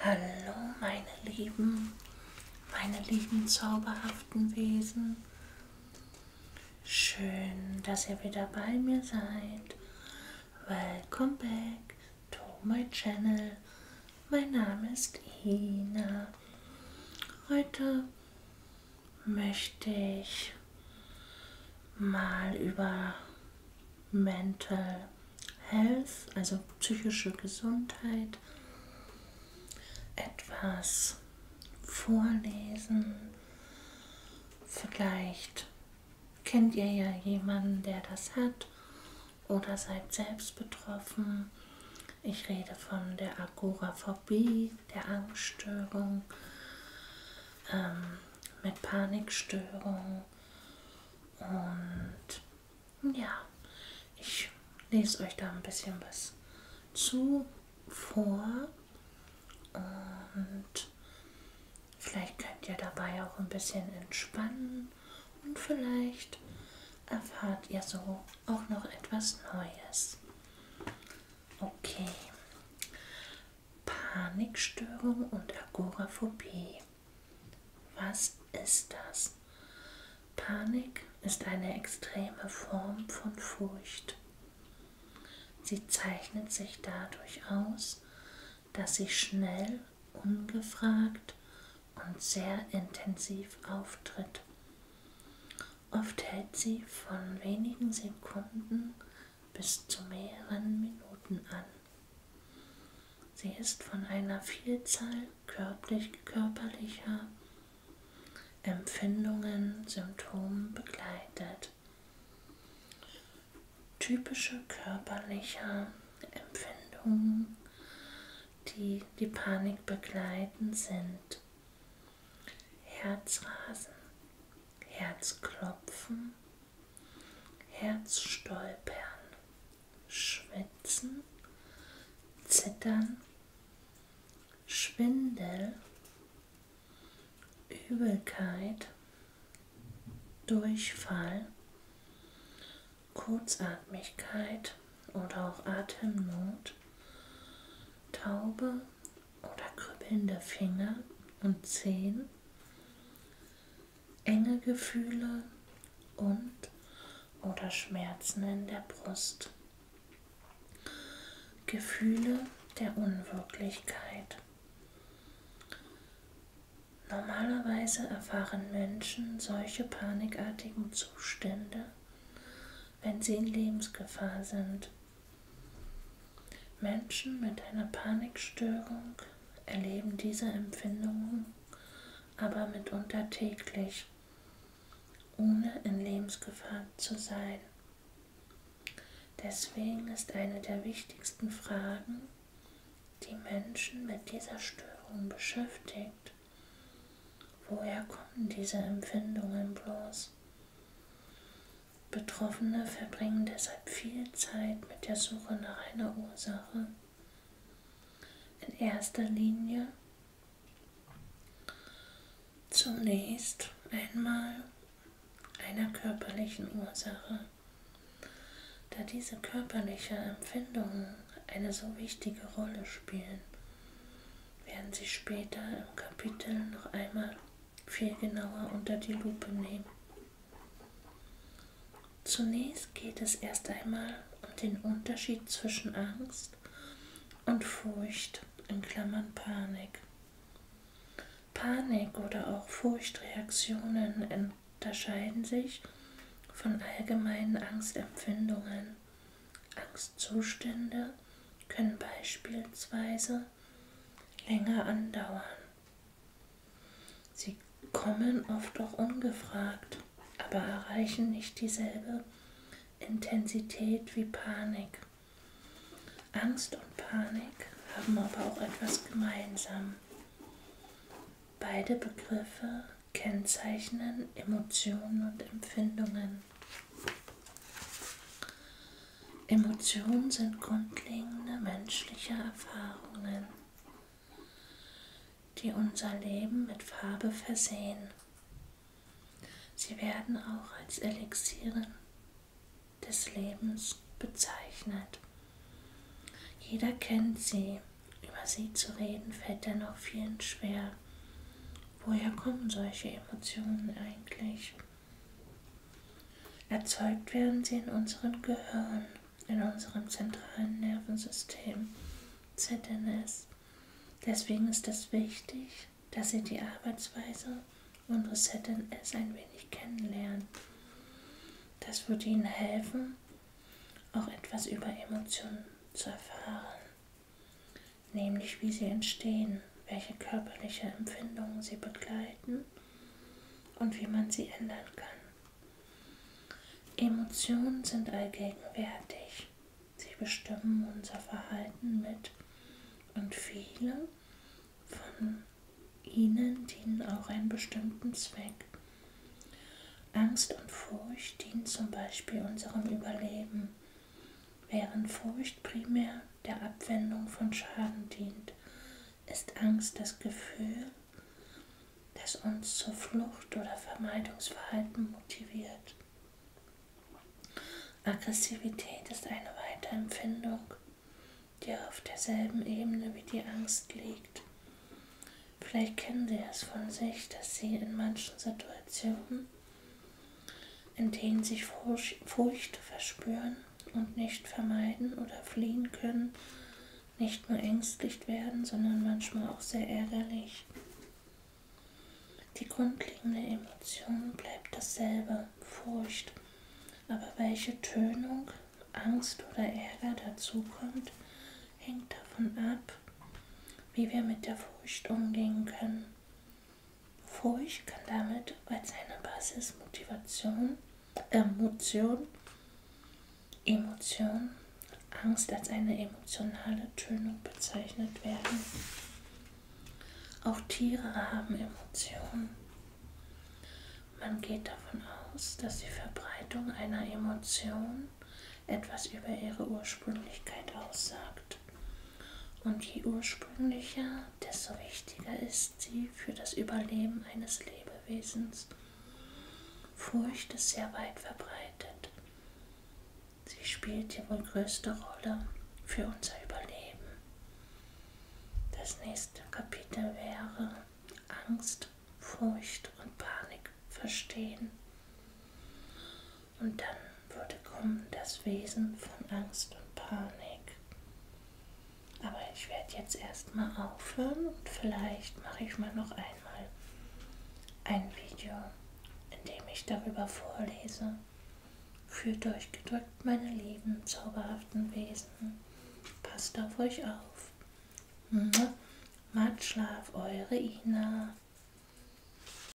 Hallo meine Lieben, meine lieben zauberhaften Wesen. Schön, dass ihr wieder bei mir seid. Welcome back to my channel. Mein Name ist Ina. Heute möchte ich mal über Mental Health, also psychische Gesundheit, etwas vorlesen. Vielleicht kennt ihr ja jemanden, der das hat oder seid selbst betroffen. Ich rede von der Agoraphobie, der Angststörung, ähm, mit Panikstörung, und ja, ich lese euch da ein bisschen was zu vor. Und vielleicht könnt ihr dabei auch ein bisschen entspannen und vielleicht erfahrt ihr so auch noch etwas Neues. Okay. Panikstörung und Agoraphobie. Was ist das? Panik ist eine extreme Form von Furcht. Sie zeichnet sich dadurch aus, dass sie schnell, ungefragt und sehr intensiv auftritt. Oft hält sie von wenigen Sekunden bis zu mehreren Minuten an. Sie ist von einer Vielzahl körperlich, körperlicher Empfindungen, Symptomen begleitet. Typische körperliche Empfindungen, die die Panik begleiten, sind Herzrasen, Herzklopfen, Herzstolpern, Schwitzen, Zittern, Schwindel, Übelkeit, Durchfall, Kurzatmigkeit oder auch Atemnot, taube oder kribbelnde Finger und Zehen, enge Gefühle und oder Schmerzen in der Brust, Gefühle der Unwirklichkeit. Normalerweise erfahren Menschen solche panikartigen Zustände, wenn sie in Lebensgefahr sind. Menschen mit einer Panikstörung erleben diese Empfindungen aber mitunter täglich, ohne in Lebensgefahr zu sein. Deswegen ist eine der wichtigsten Fragen, die Menschen mit dieser Störung beschäftigt, woher kommen diese Empfindungen bloß? Betroffene verbringen deshalb viel Zeit mit der Suche nach einer Ursache. In erster Linie zunächst einmal einer körperlichen Ursache. Da diese körperlichen Empfindungen eine so wichtige Rolle spielen, werden sie später im Kapitel noch einmal viel genauer unter die Lupe nehmen. Zunächst geht es erst einmal um den Unterschied zwischen Angst und Furcht, in Klammern Panik. Panik oder auch Furchtreaktionen unterscheiden sich von allgemeinen Angstempfindungen. Angstzustände können beispielsweise länger andauern. Sie kommen oft auch ungefragt, aber erreichen nicht dieselbe Intensität wie Panik. Angst und Panik haben aber auch etwas gemeinsam. Beide Begriffe kennzeichnen Emotionen und Empfindungen. Emotionen sind grundlegende menschliche Erfahrungen, die unser Leben mit Farbe versehen. Sie werden auch als Elixieren des Lebens bezeichnet. Jeder kennt sie. Über sie zu reden fällt dennoch vielen schwer. Woher kommen solche Emotionen eigentlich? Erzeugt werden sie in unserem Gehirn, in unserem zentralen Nervensystem, ZNS. Deswegen ist es wichtig, dass Sie die Arbeitsweise unseres ZNS ein wenig kennenlernen. Das würde Ihnen helfen, auch etwas über Emotionen zu erfahren nämlich wie sie entstehen, welche körperliche Empfindungen sie begleiten und wie man sie ändern kann. Emotionen sind allgegenwärtig. Sie bestimmen unser Verhalten mit und viele von ihnen dienen auch einem bestimmten Zweck. Angst und Furcht dienen zum Beispiel unserem Überleben, während Furcht primär der Abwendung von Schaden dient, ist Angst das Gefühl, das uns zur Flucht oder Vermeidungsverhalten motiviert. Aggressivität ist eine weitere Empfindung, die auf derselben Ebene wie die Angst liegt. Vielleicht kennen Sie es von sich, dass Sie in manchen Situationen in denen sich Furcht verspüren und nicht vermeiden oder fliehen können, nicht nur ängstlich werden, sondern manchmal auch sehr ärgerlich. Die grundlegende Emotion bleibt dasselbe, Furcht, aber welche Tönung, Angst oder Ärger dazukommt, hängt davon ab, wie wir mit der Furcht umgehen können. Furcht kann damit als eine Basismotivation, Emotion, Emotion, Angst als eine emotionale Tönung bezeichnet werden. Auch Tiere haben Emotionen. Man geht davon aus, dass die Verbreitung einer Emotion etwas über ihre Ursprünglichkeit aussagt ist und je ursprünglicher, desto wichtiger ist sie für das Überleben eines Lebewesens. Furcht ist sehr weit verbreitet. Sie spielt die wohl größte Rolle für unser Überleben. Das nächste Kapitel wäre Angst, Furcht und Panik verstehen. Und dann würde kommen das Wesen von Angst und Panik. Aber ich werde jetzt erstmal aufhören und vielleicht mache ich mal noch einmal ein Video, in dem ich darüber vorlese. Fühlt euch gedrückt, meine lieben, zauberhaften Wesen. Passt auf euch auf. Matt Schlaf, eure Ina.